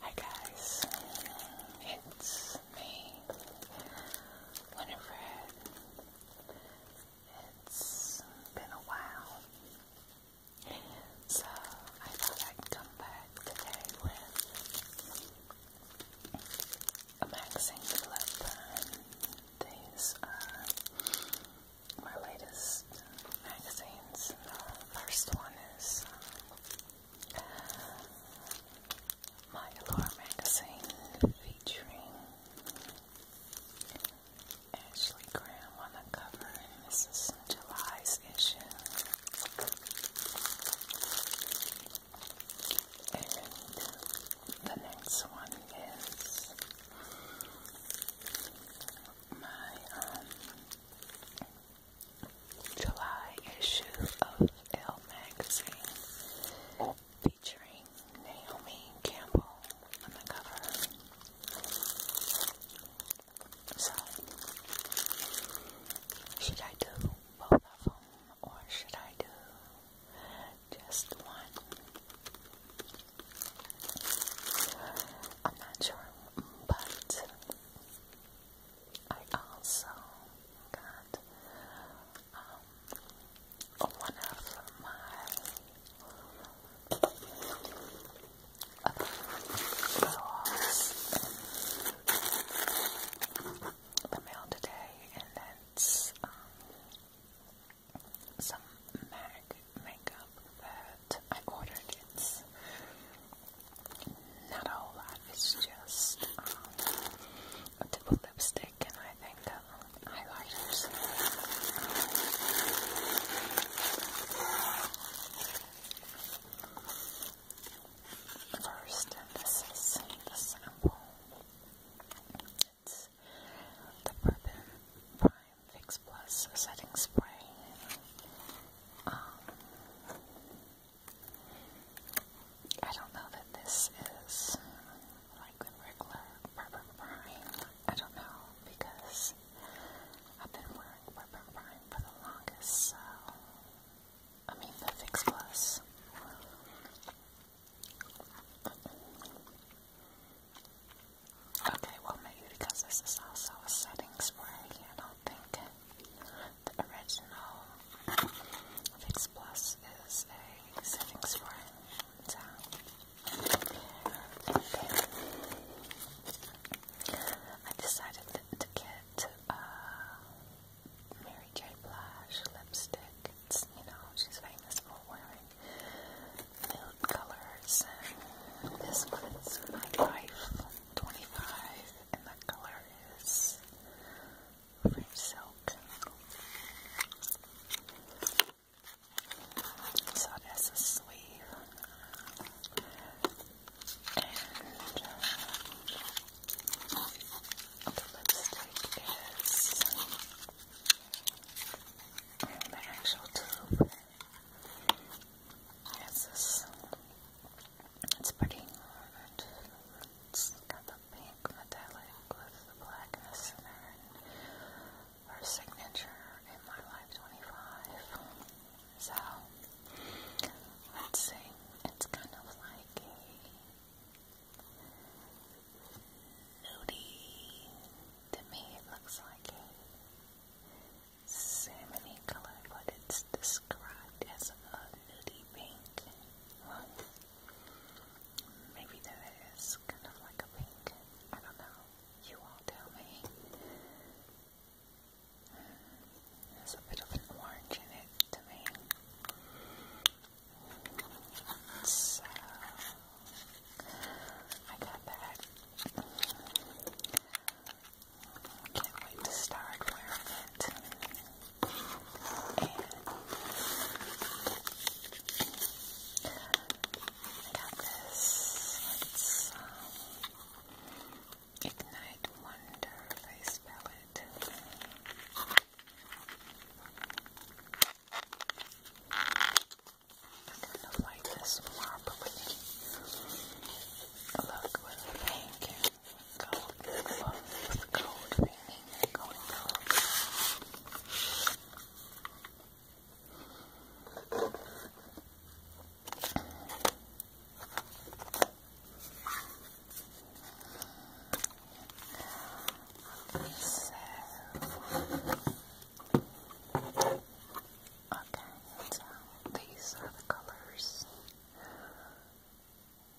Hi guys, it's me, Winifred. It's been a while, so I thought I'd come back today with a magazine clip. These my latest magazines. The first one is um, My Allure magazine featuring Ashley Graham on the cover, and this is July's issue. And the next one is my um, July issue of Elle magazine featuring Naomi Campbell on the cover. So, should I do both of them or should I do just one? I'm not sure, but I also got um, one of my other uh, blogs the mail today, and that's um, some MAC makeup I ordered. It's not a whole lot, it's just um, a double lipstick and I think um, highlighters. Um, first, this is the sample. It's the Bourbon Prime Fix Plus Setting Spray. Um, I don't know that this is like the regular Purple Prime. I don't know because I've been wearing Purple Prime for the longest, so I mean the Fix Plus. Okay, well maybe because this is also a setting spray, I don't think the original Fix Plus is a setting spray. I decided to get uh, Mary J. Blige lipstick. you know, she's famous for wearing nude colors. this one my life. 25 and the color is French silk. So it a sleeve and the lipstick is and the actual tube it's pretty orange. It's got the pink metallic with the black in the center. Her signature in my life 25. So, let's see. It's kind of like a nudie. To me, it looks like a salmony color, but it's described as a nudie pink. Well, maybe that is kind of like a pink. I don't know. You all tell me. there's a bit of orange in it to me. So, I got that. Can't wait to start wearing it. I got this. Um, Ignite Wonder Face Palette. I kind of like this marbly Look with the pink and gold gloves with gold ringing and gold gloves. So, Okay, so uh, these colors.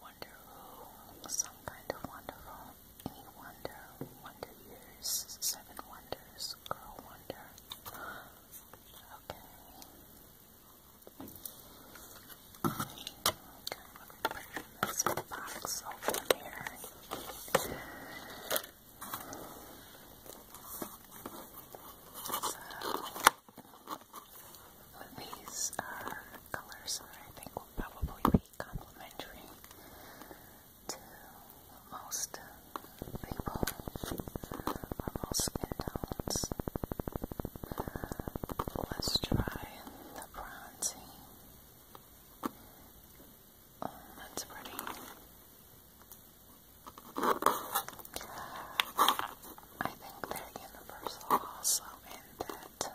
Wonderful, some kind of wonderful, any wonder, wonder years, seven wonders, girl wonder. Okay. Okay, let me put this box open here. So, these are colors I think will probably be complementary to most people most skin Let's try the bronzy. Oh, that's pretty. I think they're universal also in that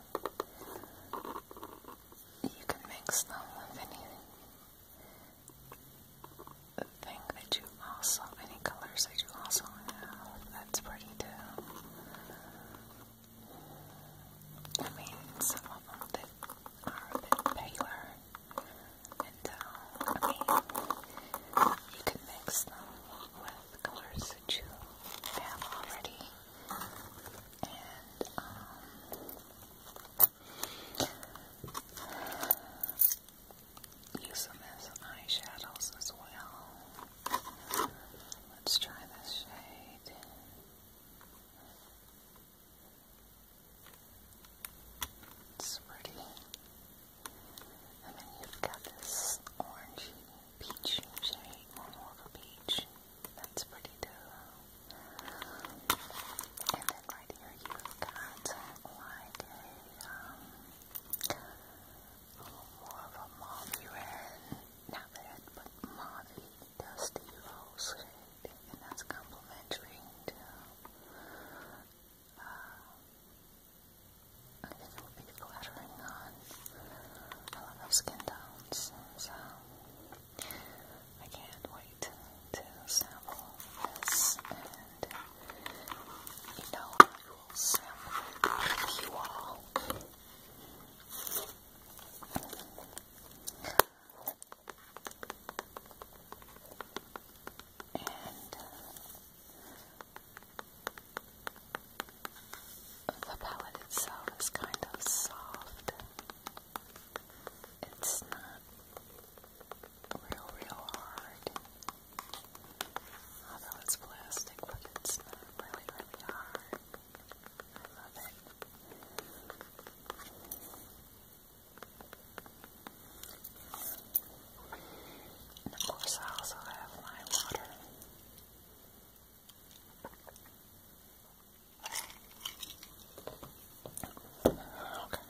you can mix them with any thing that you also, any colors that you also have. That's pretty too. I mean, some of them are a bit paler and you can mix them with colors that you have already. And, um, use them as eyeshadows as well. Let's try this shade. It's pretty. And then you've got this orangey, peachy shade, more of a peach. That's pretty too. And then right here you've got like um, more of a mauve red. Not red, but mauve dusty rose shade. And that's complimentary to uh, a little bit glittering on a lot of skin tones, so I can't wait to sample this, and you know I will sample with you all. And uh, the palette itself is kind of soft. It's not real, real hard. Although it's plastic, but it's not really, really hard. I love it of course, I also have my water. Okay.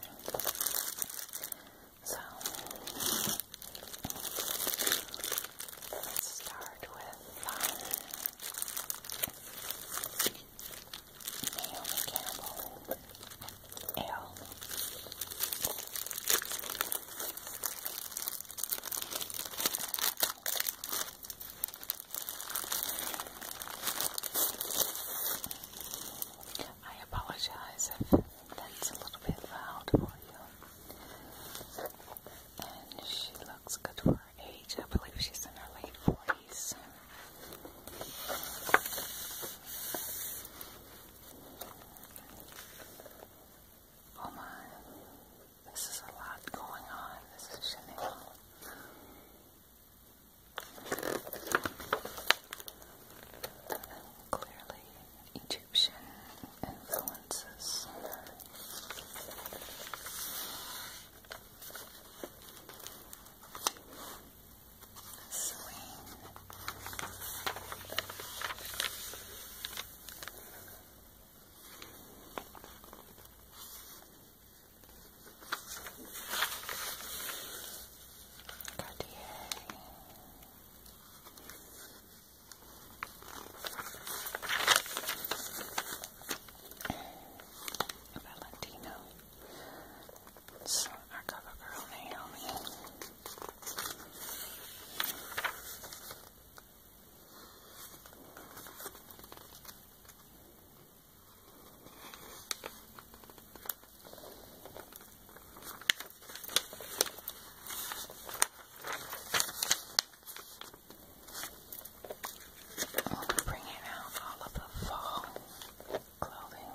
So let's start with um, Naomi Campbell. I apologize if that's a little bit loud for you. And she looks good for her age. I believe she's in her late 40s. Oh my, this is a lot going on. This is Chanel. Clearly, Egyptian influences. Celine. Cartier. Valentino. our cover girl Naomi. I'm bringing out all of the fall clothing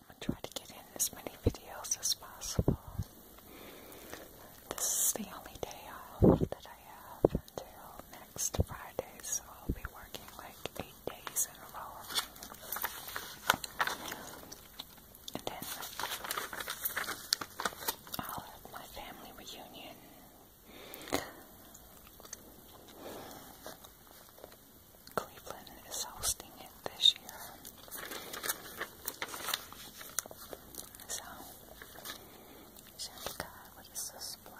I'm going to try to get in as many videos as possible. This is the only day off that I have until next Friday, so I'll be working like eight days in a row. And then I'll have my family reunion. Cleveland is hosting it this year. So, Shantika, what is this blush?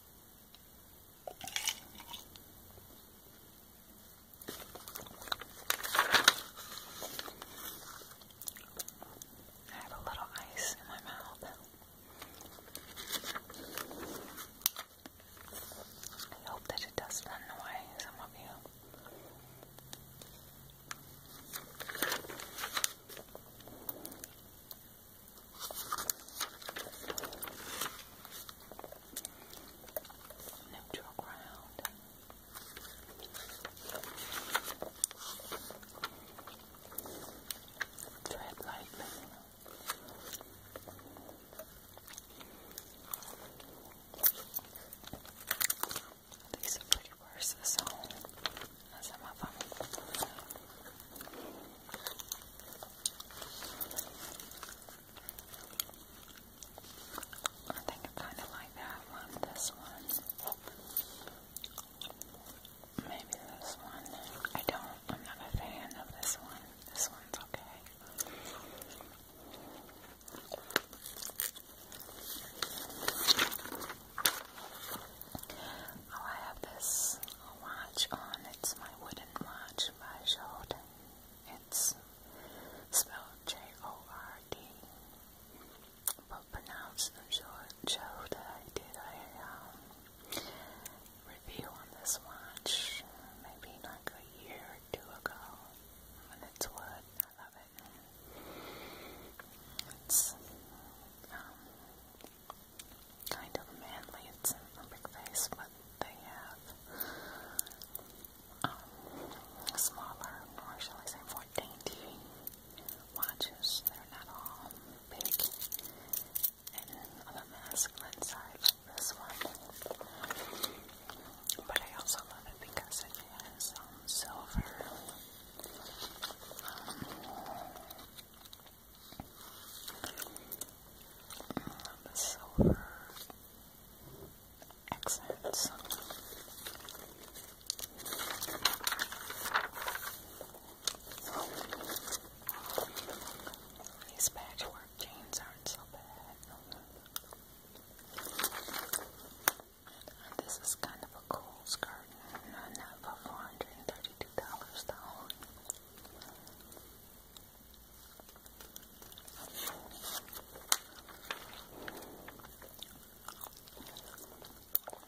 I have a little ice in my mouth. I hope that it does run away, some of you. Neutral ground. Tread lightly. These are pretty worse, so a I think I kind of like that one, this one maybe this one, I don't, I'm not a fan of this one, this one's okay Oh, I have this watch on. It's my wooden watch by Sheldon. It's spelled J O R D, but pronounced Jolda. I did um, a review on this watch maybe like a year or two ago, and it's wood. I love it kind of manly. It's a Olympic face, but they have um, smaller, or shall I say, more dainty watches. They're not all big and on the masculine side this one. But I also love it because it has um, silver. Um, the silver accents. These patchwork jeans aren't so bad. this is kind of a cool skirt, not for 439 dollars though.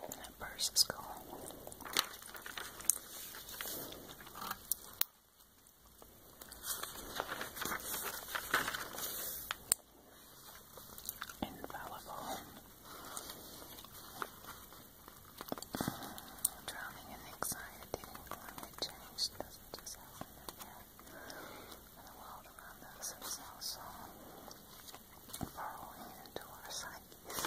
That purse is cool. Infallible. Drowning in anxiety and climate change doesn't just happen in And the world around us is also burrowing into our psyches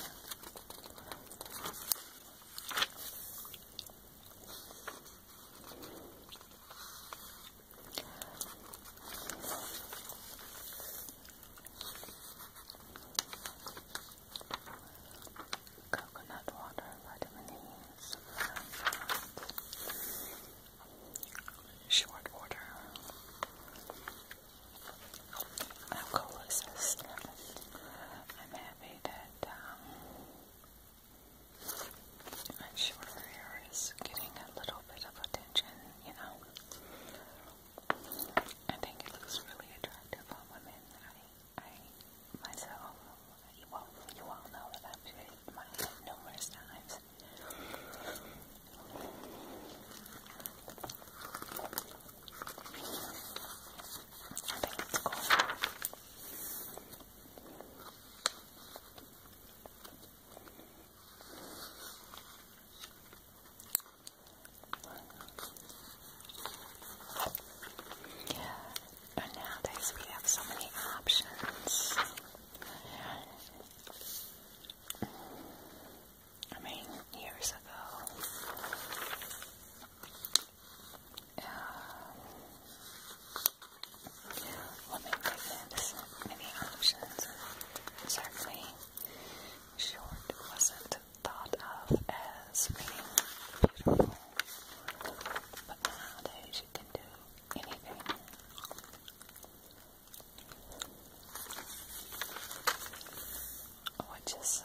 coconut water, vitamin E, short order. How I'm happy that my um, shorter hair is getting a little bit of attention, you know. I think it looks really attractive on women. I, I myself, you you all know that I've created my numerous times. And nowadays we have so many options. I mean, years ago, um, women did many options. Certainly, short wasn't thought of as being beautiful, but nowadays you can do anything. Which is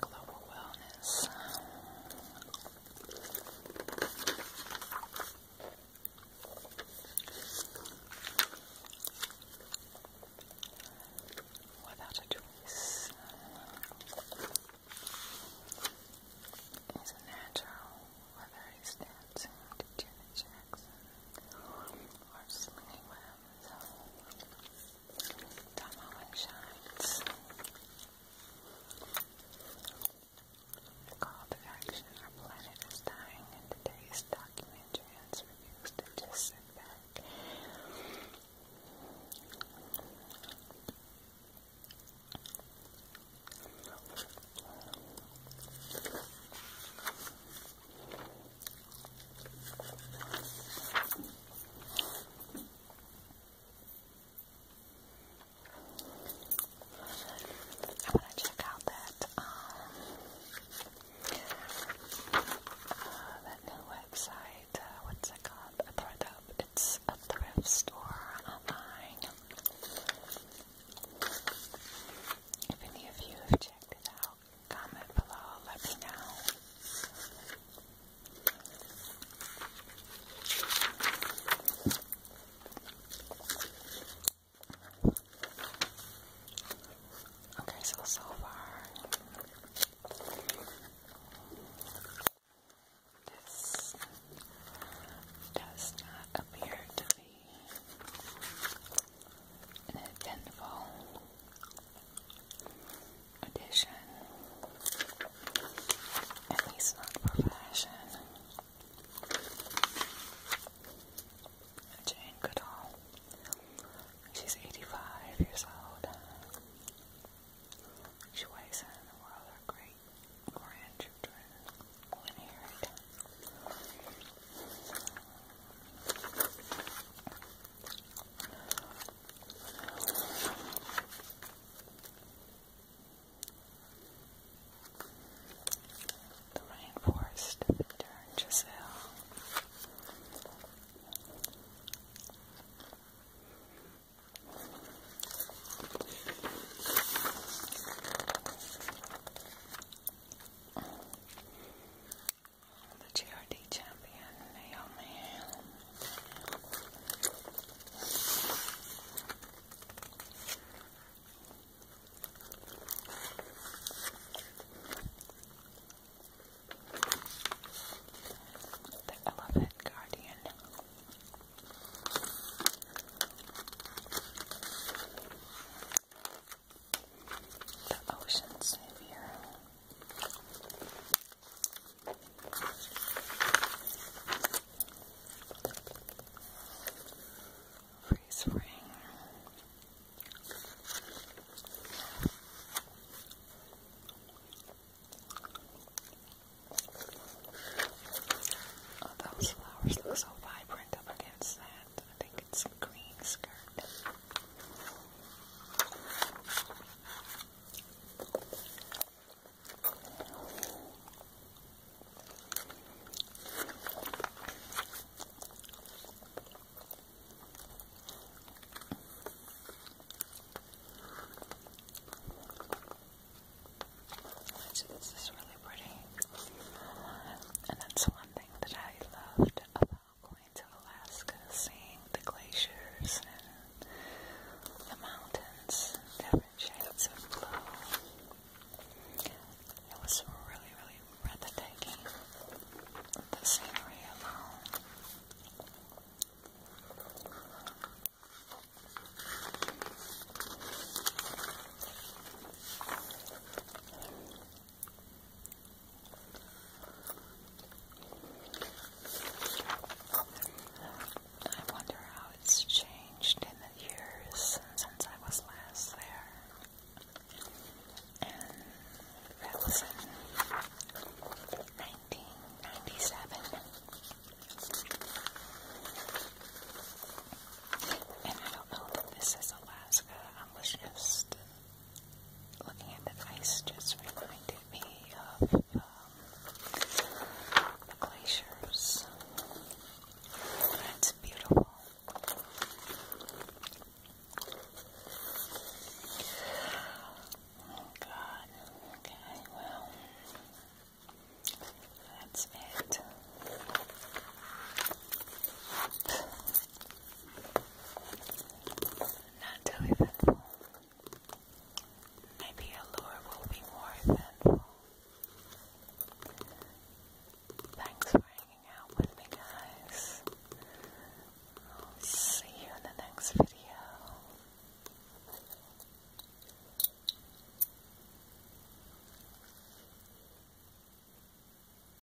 Global Wellness. Without a choice is a natural, whether he's dancing to the chair Jackson or Slinky Web, so shines. call to action, our planet is dying, and today's documentary has to just sit back. Thank you. I'm gonna check out that um uh, that new website. Uh, what's it called? I brought it up. It's a thrift store online. If any of you have checked it out comment below, let me know. Okay, so so far this does not appear to be an eventful edition, at least not for fashion. Jane Goodall, she's 85 years old. She weighs in the world her great grandchildren when married. The rainforest turned Giselle the GRD champion, The Elephant Guardian the Ocean Savior. Freeze frame. Oh, those flowers look so vibrant up against that. I think it's a green skirt. So this is really pretty. And that's one thing that I loved about going to Alaska, seeing the glaciers and the mountains, different shades of blue. It was really, really breathtaking, the scenery alone. I wonder how it's changed in the years since I was last there. in 1997. And I don't know if this is Alaska. I was just looking at the ice just reminded me of um, glaciers. It's beautiful. Oh God. Okay. Well, that's it. Not too eventful. Maybe a lure will be more eventful. Thanks for hanging out with me, guys. I'll see you in the next video.